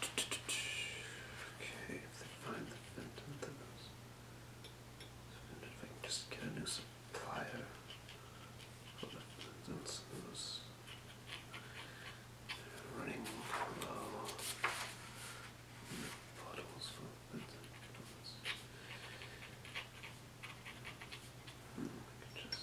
Okay, if they find the Phantom, then if I can just get a new supplier for the Phantoms, those. running low. Bottles for the Phantoms. Hmm, I could just.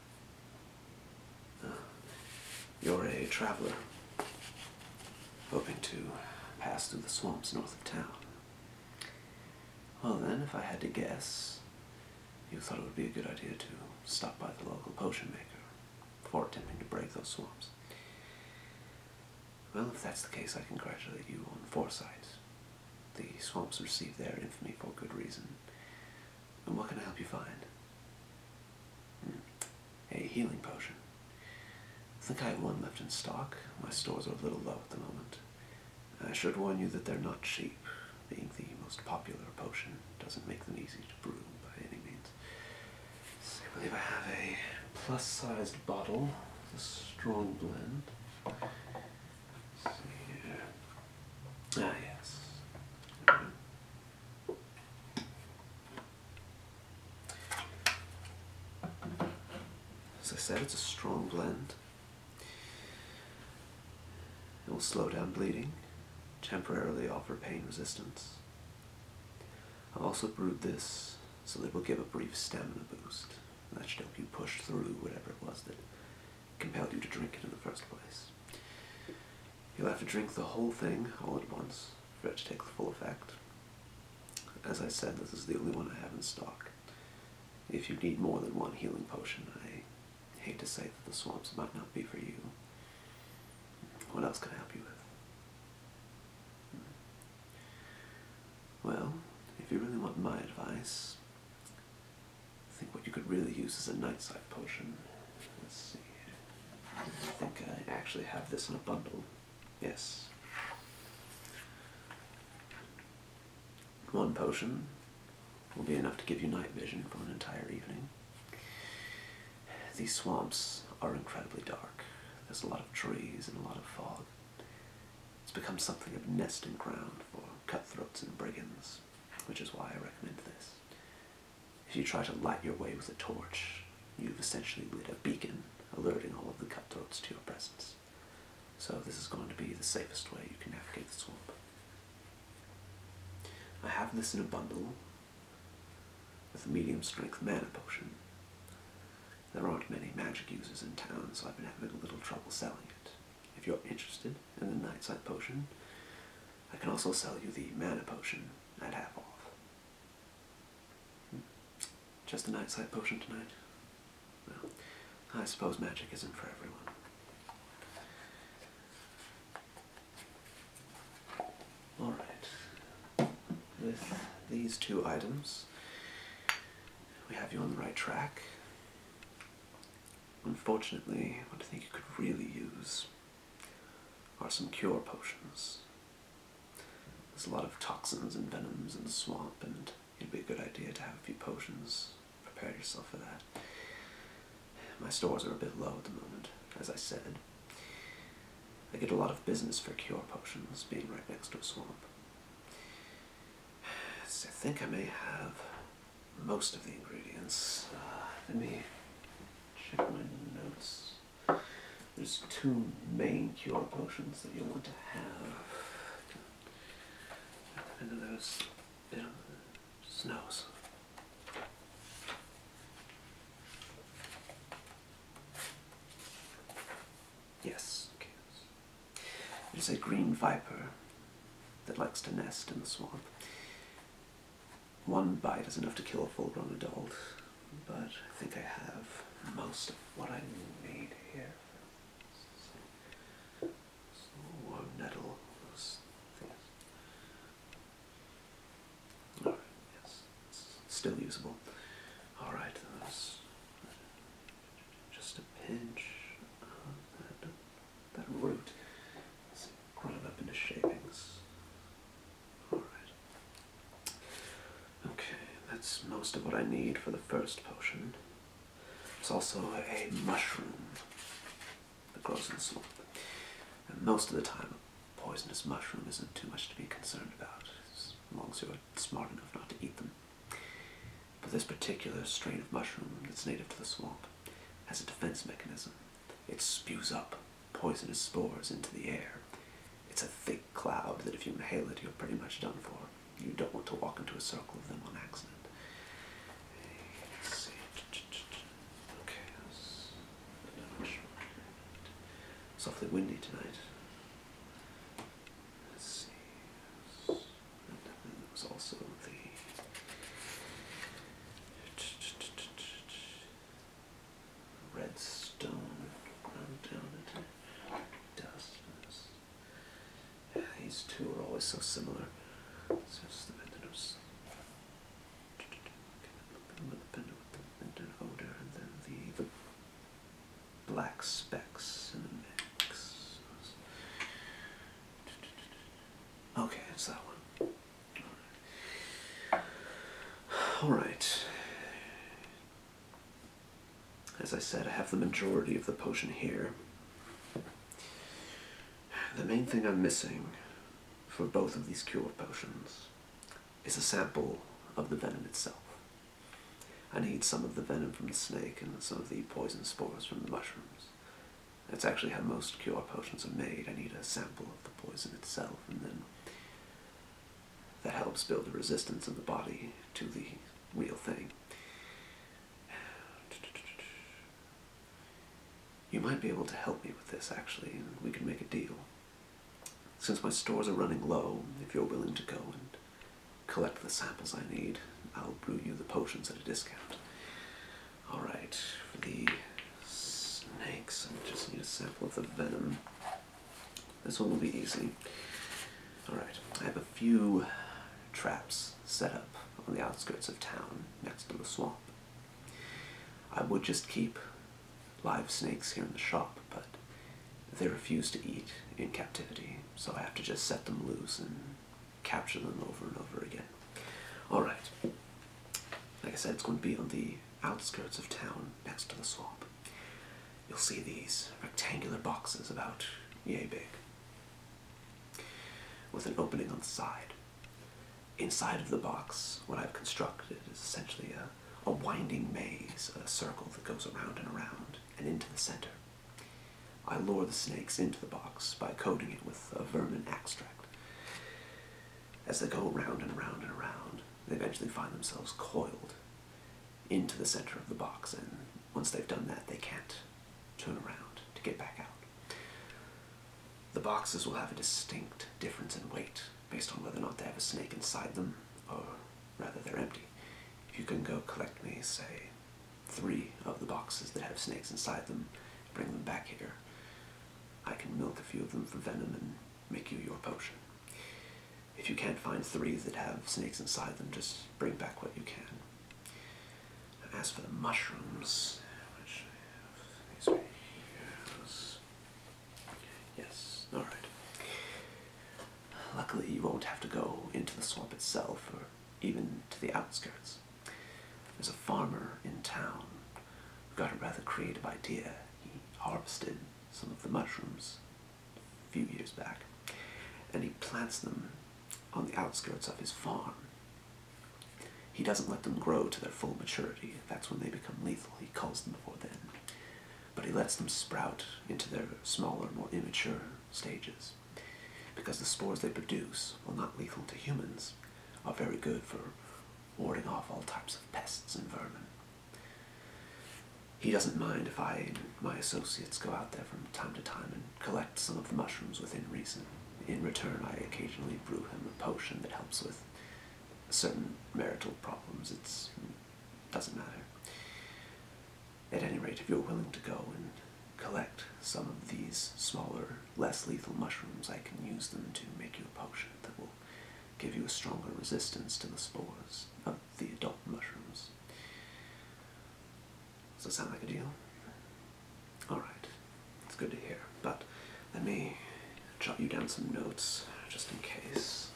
Uh, you're a traveler, hoping to pass through the swamps north of town. Well then, if I had to guess, you thought it would be a good idea to stop by the local potion maker before attempting to break those swamps. Well, if that's the case, I congratulate you on foresight. The swamps receive their infamy for good reason. And what can I help you find? Hmm. A healing potion. I think I have one left in stock. My stores are a little low at the moment. I should warn you that they're not cheap. Being the most popular potion doesn't make them easy to brew by any means. So I believe I have a plus-sized bottle, a strong blend. Ah, As I said, it's a strong blend. It will slow down bleeding, temporarily offer pain resistance. I've also brewed this so that it will give a brief stamina boost. that should help you push through whatever it was that compelled you to drink it in the first place. You'll have to drink the whole thing all at once for it to take the full effect. As I said, this is the only one I have in stock. If you need more than one healing potion, I hate to say that the swamps might not be for you. What else can I help you with? Hmm. Well, if you really want my advice, I think what you could really use is a night sight potion. Let's see. I think I actually have this in a bundle. Yes. One potion will be enough to give you night vision for an entire evening. These swamps are incredibly dark. There's a lot of trees and a lot of fog. It's become something of nesting ground for cutthroats and brigands which is why I recommend this. If you try to light your way with a torch, you've essentially lit a beacon alerting all of the cutthroats to your presence. So this is going to be the safest way you can navigate the swamp. I have this in a bundle with a medium strength mana potion. There aren't many magic users in town, so I've been having a little trouble selling it if you're interested in the night Nightside potion. I can also sell you the mana potion at half off. Hmm. Just the night Nightside potion tonight? Well, I suppose magic isn't for everyone. Alright, with these two items, we have you on the right track. Unfortunately, what I think you could really use are some cure potions. There's a lot of toxins and venoms in the swamp, and it'd be a good idea to have a few potions. Prepare yourself for that. My stores are a bit low at the moment, as I said. I get a lot of business for cure potions, being right next to a swamp. I think I may have most of the ingredients. Uh, let me check my notes. There's two main cure potions that you want to have. Into those you know, snows. Yes, okay. There's a green viper that likes to nest in the swamp. One bite is enough to kill a full-grown adult, but I think I have most of what I need here. So, nettle, yes, still usable. Alright, just a pinch that root is ground up into shavings. Alright. Okay, that's most of what I need for the first potion. It's also a mushroom that grows in the swamp. And most of the time, a poisonous mushroom isn't too much to be concerned about, as long as you're smart enough not to eat them. But this particular strain of mushroom that's native to the swamp has a defense mechanism. It spews up poisonous spores into the air. It's a thick cloud that if you inhale it, you're pretty much done for. You don't want to walk into a circle of them on accident. Let's see. Okay, softly windy tonight. Let's see. And it was also the redstone ground down into dust. these two are always so similar. it's the Vendinus. The Vendin odor, and then the, black specks in the mix. Okay, it's that one. All right. As I said, I have the majority of the potion here. The main thing I'm missing for both of these cure potions is a sample of the venom itself. I need some of the venom from the snake and some of the poison spores from the mushrooms that's actually how most cure potions are made. I need a sample of the poison itself, and then that helps build the resistance in the body to the real thing. You might be able to help me with this, actually, we can make a deal. Since my stores are running low, if you're willing to go and collect the samples I need, I'll brew you the potions at a discount. Alright, for the snakes, I just need a sample of the venom. This one will be easy. Alright, I have a few traps set up on the outskirts of town, next to the swamp. I would just keep live snakes here in the shop, but they refuse to eat in captivity, so I have to just set them loose and capture them over and over again. Alright, like I said, it's going to be on the outskirts of town next to the swamp. You'll see these rectangular boxes about yay big with an opening on the side. Inside of the box, what I've constructed is essentially a, a winding maze, a circle that goes around and around and into the center. I lure the snakes into the box by coating it with a vermin extract. As they go round and round and round, they eventually find themselves coiled into the center of the box, and once they've done that, they can't turn around to get back out. The boxes will have a distinct difference in weight based on whether or not they have a snake inside them, or rather they're empty. You can go collect me, say, three of the boxes that have snakes inside them, bring them back here. I can milk a few of them for venom and make you your potion. If you can't find three that have snakes inside them, just bring back what you can. as for the mushrooms, Yes, alright. Luckily, you won't have to go into the swamp itself or even to the outskirts. There's a farmer in town who got a rather creative idea. He harvested some of the mushrooms a few years back and he plants them on the outskirts of his farm. He doesn't let them grow to their full maturity. That's when they become lethal. He culls them before then. But he lets them sprout into their smaller, more immature stages because the spores they produce, while not lethal to humans, are very good for warding off all types of pests and vermin. He doesn't mind if I and my associates go out there from time to time and collect some of the mushrooms within reason. In return, I occasionally brew him a potion that helps with certain marital problems. It doesn't matter. At any rate, if you're willing to go and collect some of these smaller, less lethal mushrooms, I can use them to make you a potion that will give you a stronger resistance to the spores of the adult mushrooms. Does that sound like a deal? Alright, that's good to hear, but let me jot you down some notes just in case.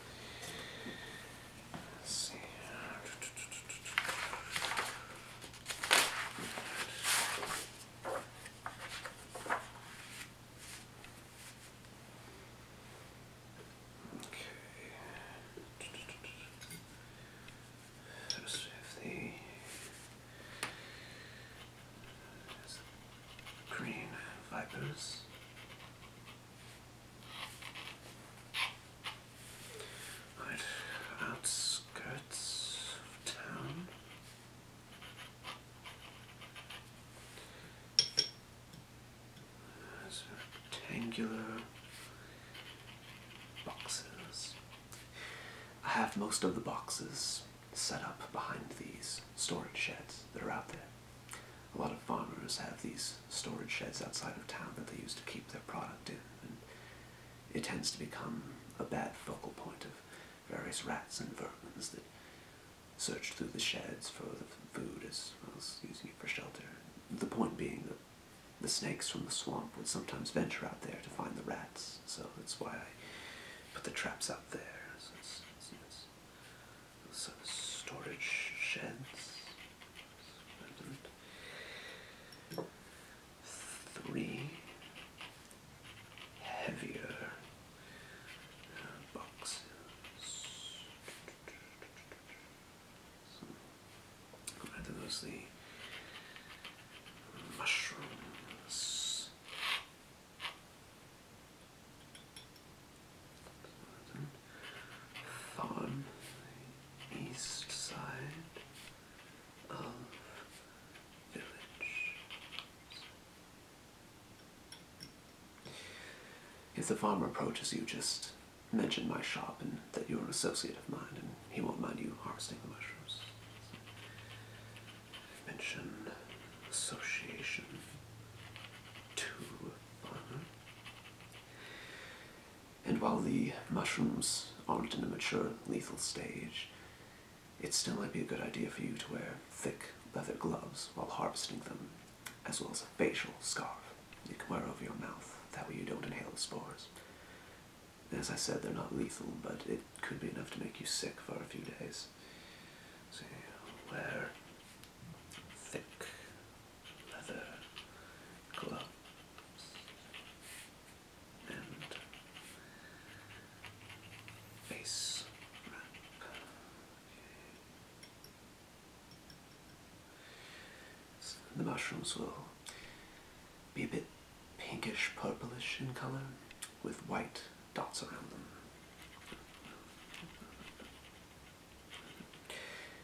So we have the green vipers outskirts of town. rectangular boxes. I have most of the boxes set up behind these storage sheds that are out there. A lot of farmers have these storage sheds outside of town that they use to keep their product in it tends to become a bad focal point of various rats and vermins that search through the sheds for the food as well as using it for shelter. The point being that the snakes from the swamp would sometimes venture out there to find the rats, so that's why I put the traps out there. So storage sheds three heavier uh, boxes. So, that the mushrooms. Thorn, east side. If the farmer approaches you, just mention my shop and that you're an associate of mine, and he won't mind you harvesting the mushrooms. Mention association to farmer. And while the mushrooms aren't in a mature, lethal stage, it still might be a good idea for you to wear thick leather gloves while harvesting them, as well as a facial scarf you can wear over your mouth. That way you don't inhale the spores. As I said, they're not lethal, but it could be enough to make you sick for a few days. So wear thick leather gloves and base map. the mushrooms will be a bit pinkish purplish in color with white dots around them.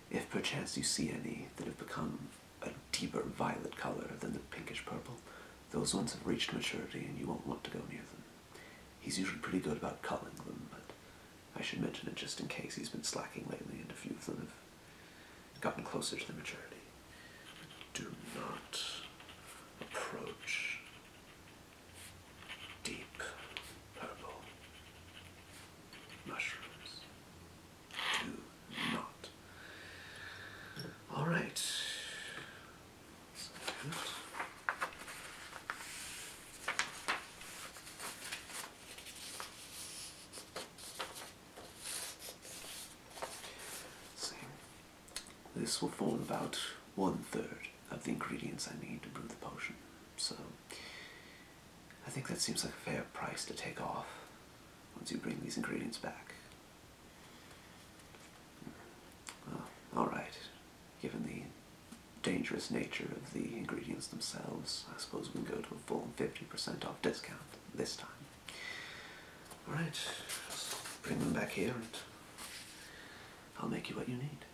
If perchance you see any that have become a deeper violet color than the pinkish purple. Those ones have reached maturity and you won't want to go near them. He's usually pretty good about culling them, but I should mention it just in case he's been slacking lately and a few of them have gotten closer to the maturity. Do not approach deep purple mushrooms do not. All this will form about one third of the ingredients I need to brew the potion. So I think that seems like a fair price to take off once you bring these ingredients back. Alright, given the dangerous nature of the ingredients themselves, I suppose we can go to a full 50% off discount this time. Alright, bring them back here and I'll make you what you need.